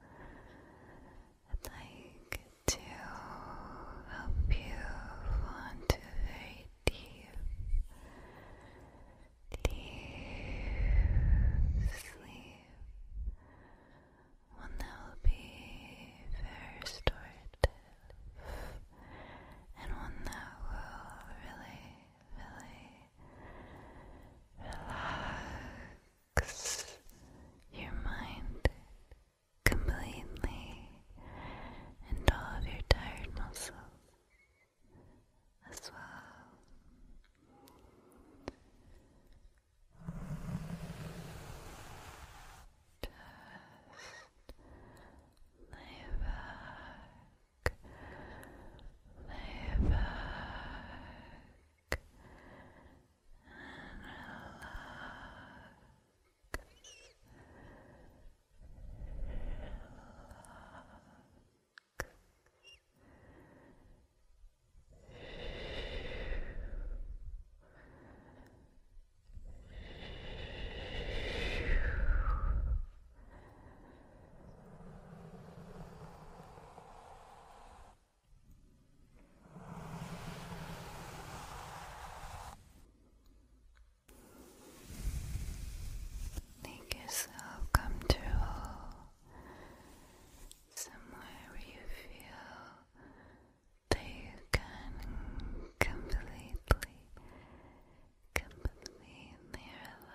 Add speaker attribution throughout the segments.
Speaker 1: I'd like to help you fall a deep, deep sleep. One that will be restorative and one that will really, really relax your mind completely and all of your tired muscles as well. Just lay back back, lay back and relax. Relax. Make yourself comfortable somewhere where you feel that you can completely, completely relax.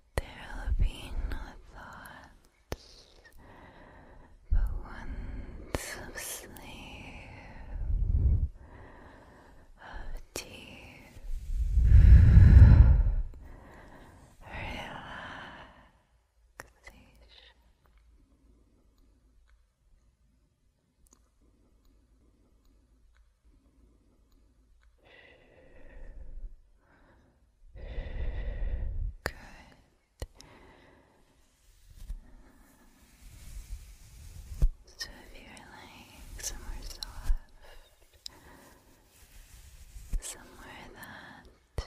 Speaker 1: There'll be no thoughts but ones of sleep, of deep relaxation. Good. So if you're like somewhere soft, somewhere that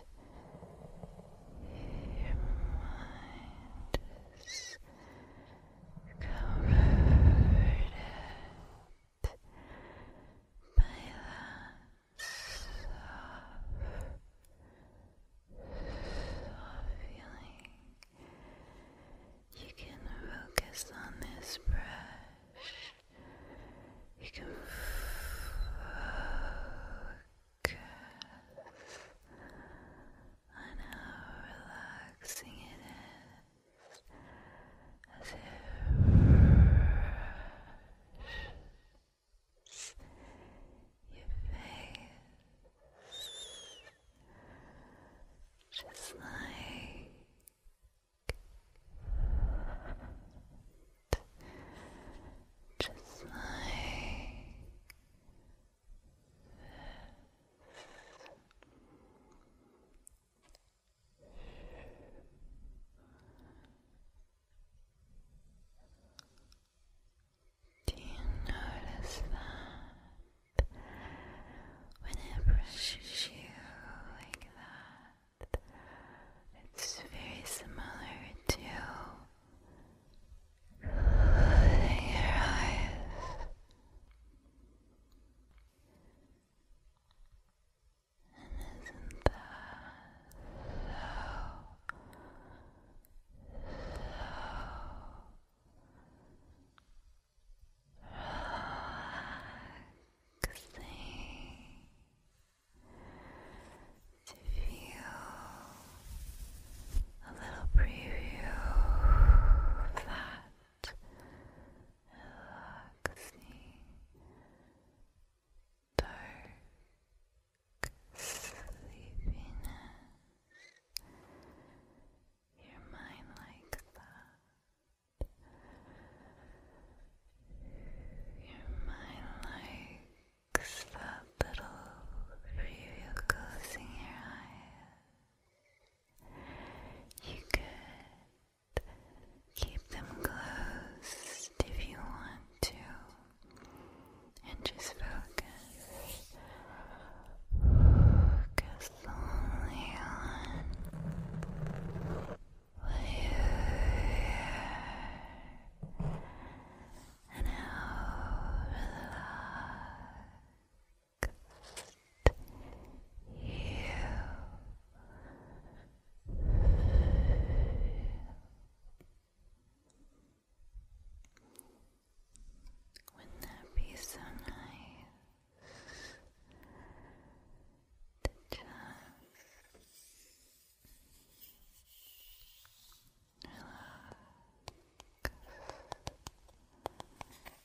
Speaker 1: your mind is covered by that soft, soft feeling. You can focus on this brush. You can focus on how relaxing it is as if your face just like just like do you notice that when it brushes you like that, it's very similar to closing your eyes? And isn't that so, relaxing to feel a little preview of that? relaxing dark sleepiness. Your mind like that. Your mind likes that little preview closing your eyes. You can. Keep them close if you want to. And just focus. Focus only on what and how relaxed wouldn't that be so nice to just relax?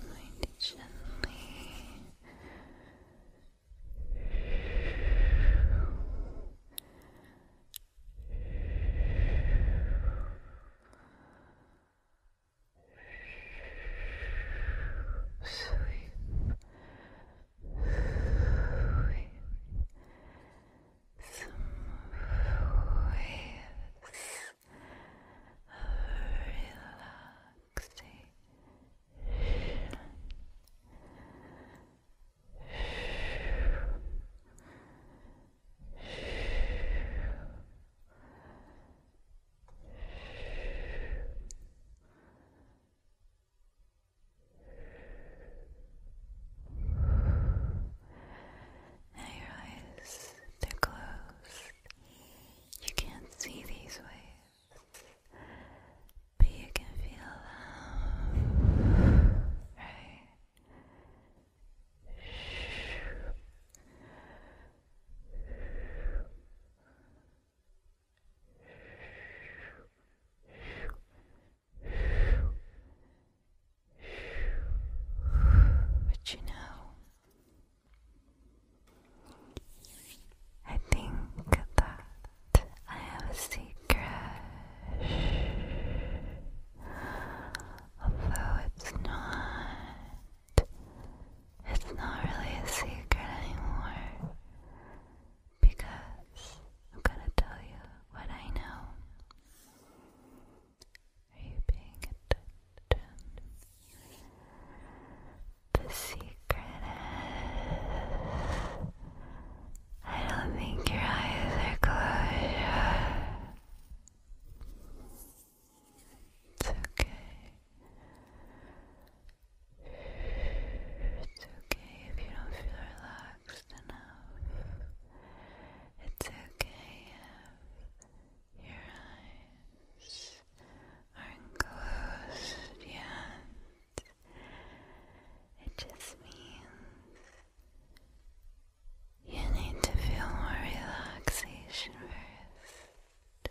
Speaker 1: Mind gently Sweep, sweep, some now your eyes, they're closed. You can't see these waves, but you can feel them, right? But you know, I think that I have a secret, although it's not, it's not really a secret anymore, because I'm gonna tell you what I know. Are you paying attention? The secret is I don't think your eyes are closed. It's okay. It's okay if you don't feel relaxed enough. It's okay if your eyes are closed yet. It just means you need to feel more relaxation first. Now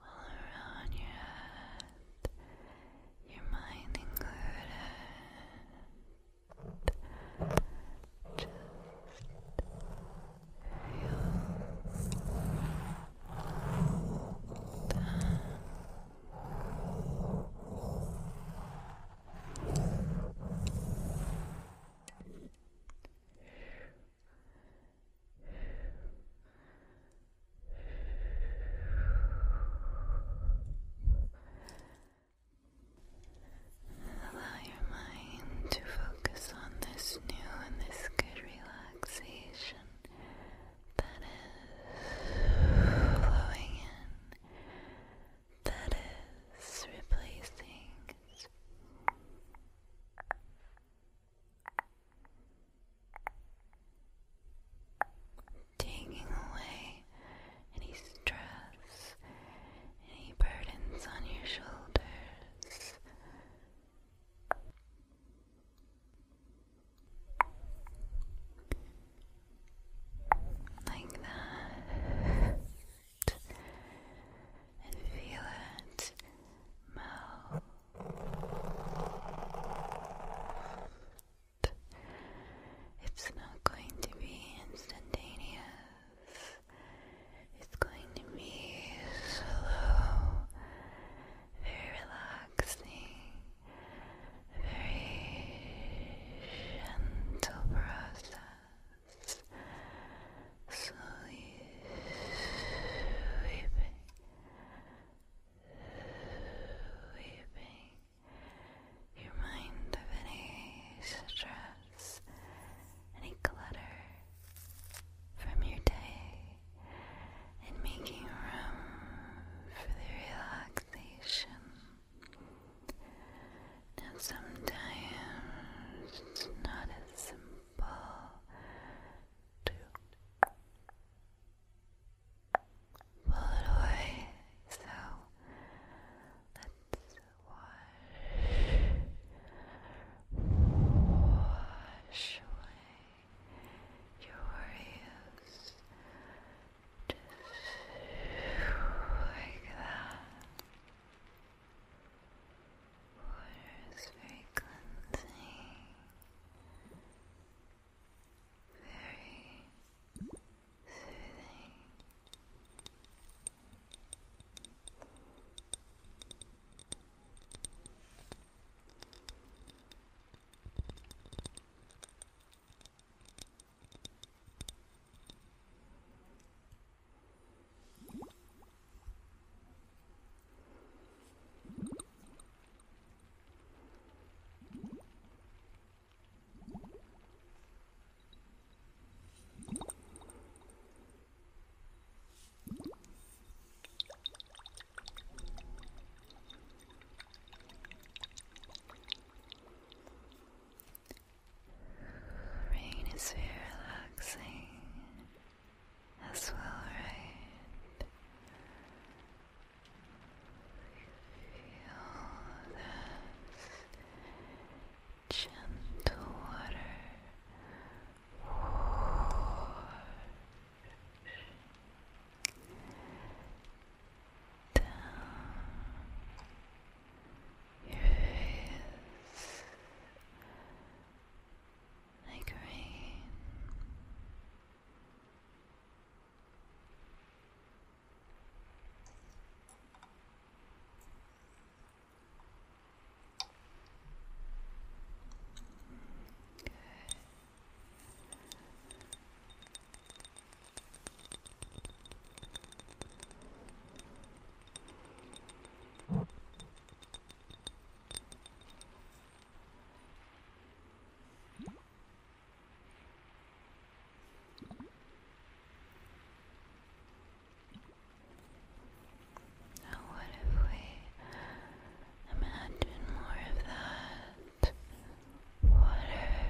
Speaker 1: all around your head, your mind included. Just feel done. Allow your mind to focus on this new and this good relaxation that is flowing in, that is replacing taking away any stress, any burdens on your shoulders. Like that and feel it melt it's not going to be instantaneous it's going to be slow very relaxing very gentle process sleeping, sleeping, sleeping. Your mind of any stress, any clutter from your day, and making room for the relaxation. Now, sometimes it's not as simple two. Pull it away. So let's wash, wash away your worries. Just like that. Water is very cleansing, very soothing. Rain is very relaxing as well, right? Feel this gentle water wash down your face. I agree. Good. Now, what if we imagine more of that water,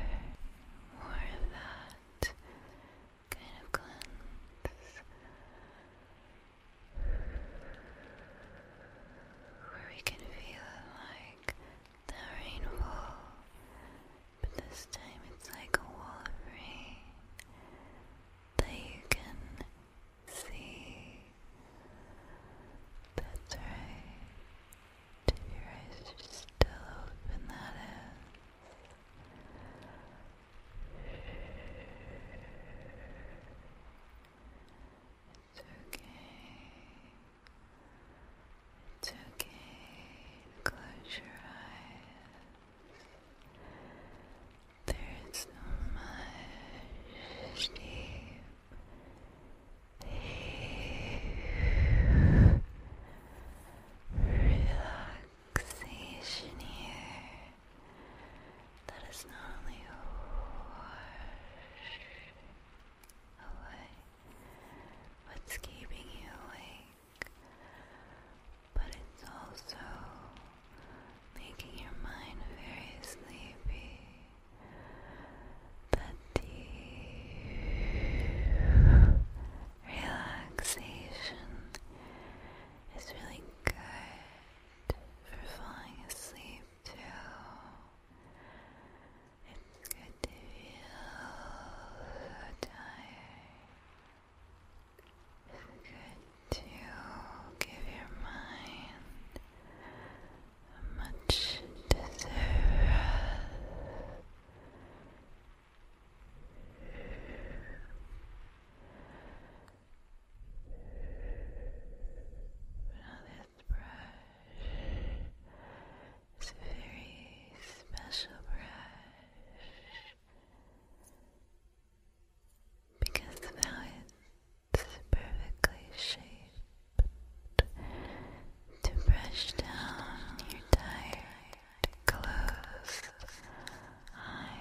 Speaker 1: more of that kind of cleanse, where we can feel like the rainfall, but this time it's like a wall of rain that you can see. That's right. If your eyes are still open, that is. It's okay. It's okay. Close your eyes. There's no much deep, deep relaxation here that is not only a away, what's keeping you awake, but it's also making your mind very sleepy. That deep relaxation is really good for falling asleep too. It's good to feel tired. It's good to give your mind a much deserved now this brush is a very special brush because the now is perfectly shaped to brush down your tired, closed eyes.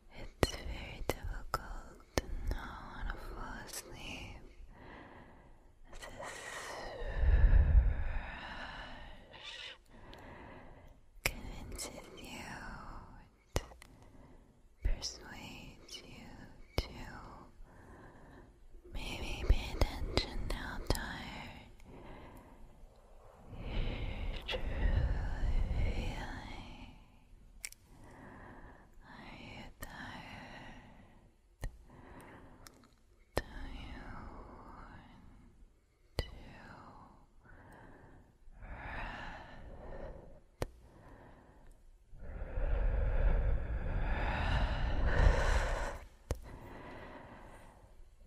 Speaker 1: It's very difficult to know when to fall asleep. This rush convinces you, persuades you to maybe pay attention how tired you're truly are you tired? Do you want to rest?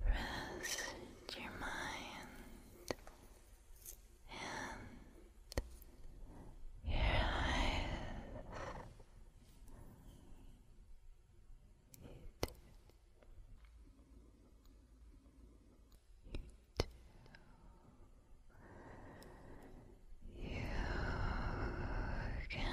Speaker 1: Rest, your mind and your eyes. You do. You do. You can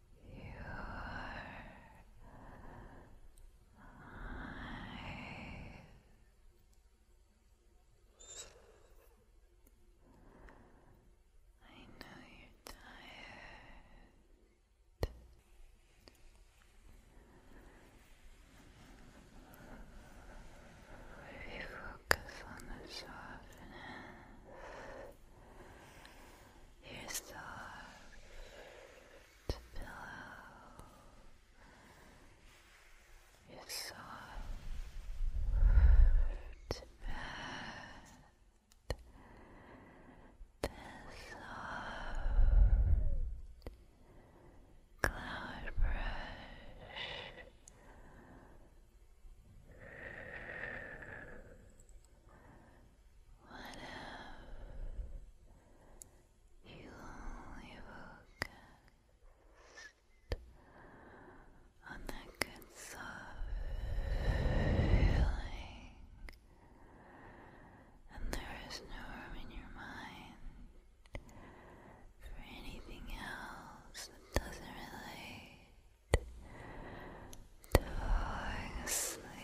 Speaker 1: I know you're tired. If you focus on the softness your soft pillow, your soft bed, the soft cloud brush. What if you only focused on that good soft and there is no room in your mind for anything else that doesn't relate to falling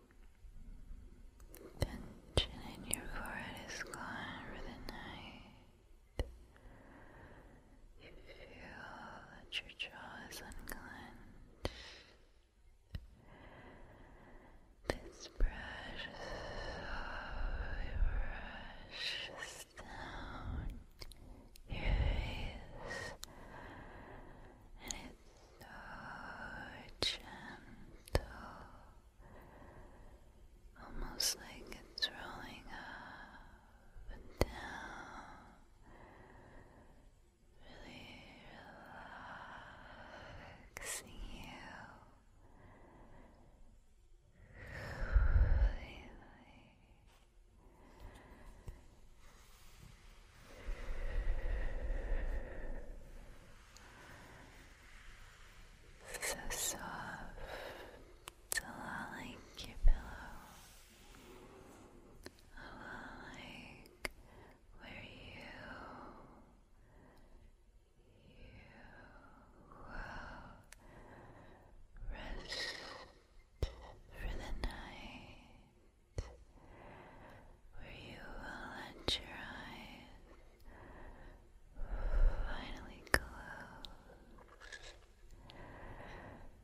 Speaker 1: Tension in your forehead is gone for the night. You feel that your jaw is unclenched. This brush slowly rushes down your face, and it's so gentle almost like it's rolling up and down, really relaxing you so soft, like your pillow, like where you you will rest for the night, where you will let your eyes Finally close,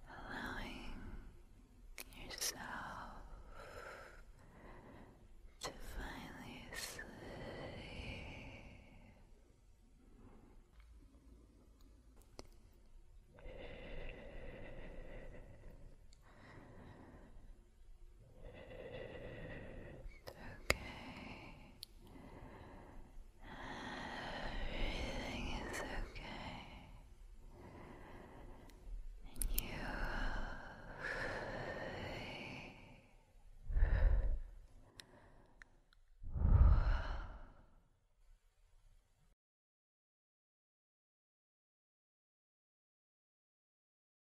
Speaker 1: allowing yourself to finally sleep okay. Everything is okay. And you